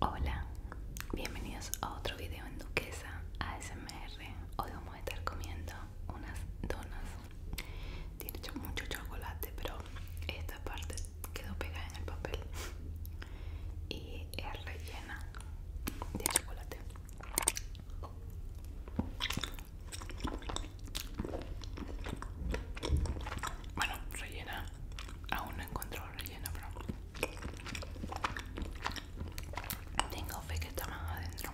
Hola, bienvenidos a otro video en Duquesa ASMR. Hoy vamos a estar comiendo unas donas. Tiene mucho chocolate, pero esta parte quedó pegada en el papel y es rellena de chocolate. Bueno, rellena. Aún no encontró rellena, pero tengo fe que está más adentro.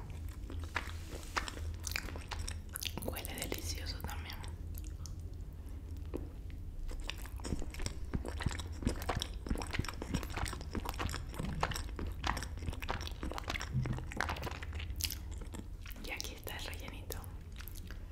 Huele delicioso también. Y aquí está el rellenito.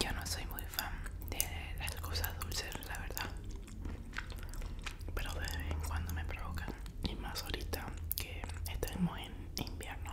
Yo no soy muy fan de las cosas dulces, la verdad. Pero de vez en cuando me provocan. Y más ahorita que estamos en invierno.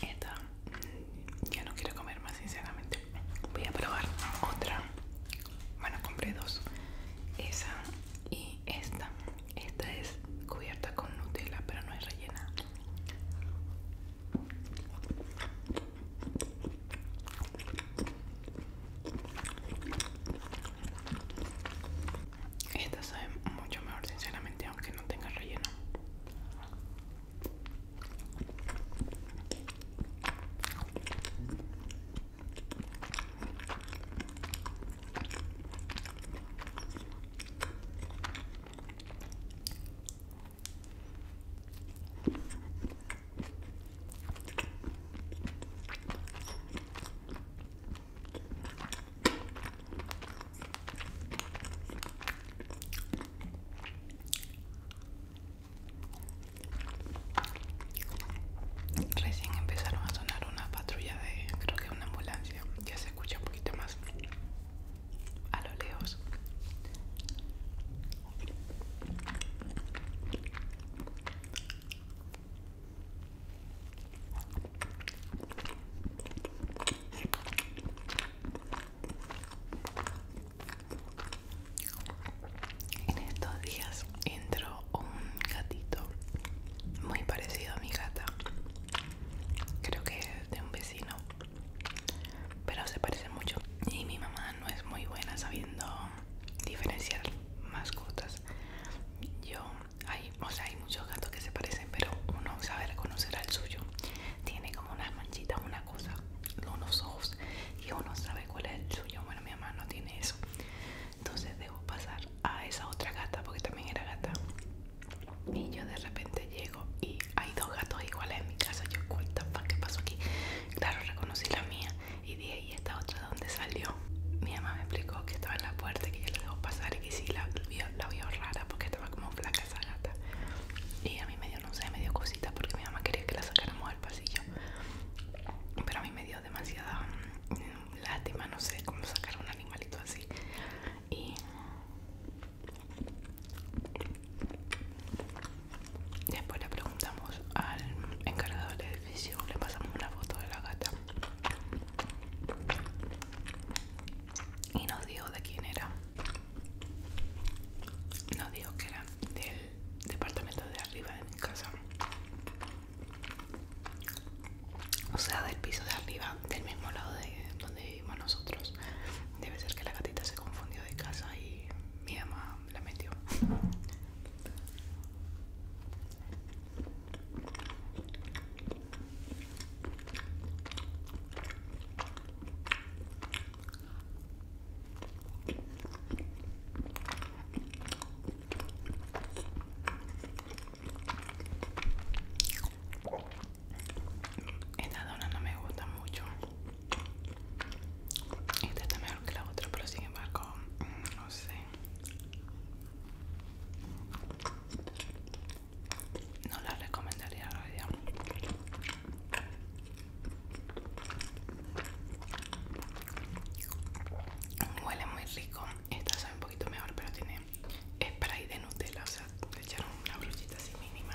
Esta ya no quiero comer más sinceramente. Voy a probar otra. Bueno, compré dos. Esa y esta. Esta es cubierta con Nutella, pero no es rellena. Esta sabe mucho mejor, sinceramente, aunque no tenga relleno. Recién empezaron a sonar una patrulla de, creo que una ambulancia, ya se escucha un poquito más a lo lejos. En estos días entró un gatito muy parecido a mi gata. Creo que es de un vecino pero se parecen mucho y mi mamá no es muy buena sabiendo diferenciar mascotas yo hay o sea hay muchos gatos que se parecen pero uno sabe reconocer al suyo tiene como una manchitas una cosa unos ojos y uno sabe cuál es el suyo bueno mi mamá no tiene eso entonces debo pasar a esa otra gata porque también era gata y yo de repente llego y hay dos gatos iguales en mi casa. Yo, what the ¿qué pasó aquí? Claro, reconocí la mía y dije, ¿y esta otra de dónde salió? Mi mamá me explicó que estaba en la puerta, que yo la dejó pasar y que sí la, vio, la rara porque estaba como flaca esa gata. Y a mí me dio, no sé, me dio cosita porque mi mamá quería que la sacáramos al pasillo. Pero a mí me dio demasiada mm, lástima, no sé cómo sacar un animalito así. Y Después le preguntamos al encargado del edificio, le pasamos una foto de la gata y nos dijo de quién era. Nos dijo que era del departamento de arriba de mi casa. O sea, del piso de arriba, del mismo lado de donde vivimos nosotros. Debe ser que la gatita se confundió de casa y mi mamá la, metió. Esta dona no me gusta mucho esta está mejor que la otra, pero sin embargo, mm, no sé. No la recomendaría a Huele muy rico. Esta sabe un poquito mejor, pero tiene spray de Nutella. O sea, le echaron una brochita así mínima.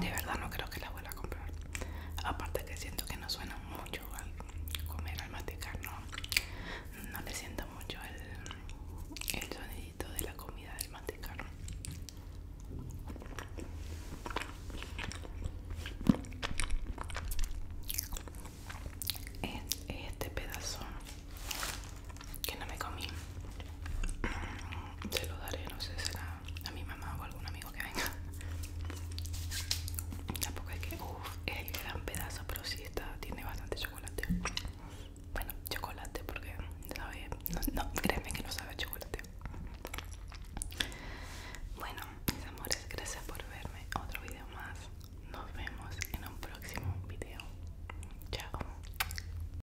De verdad no creo que la vuelva a comprar. Aparte que siento que no suena mucho al comer, al masticar, no, le siento mucho el, sonido de la comida del masticar. este pedazo que no me comí se mm, lo daré no sé será a mi mamá o algún amigo que venga tampoco es que uff es el gran pedazo pero sí está tiene bastante chocolate bueno chocolate porque sabe no, no créeme que no sabe chocolate bueno mis amores gracias por verme otro video más nos vemos en un próximo video chao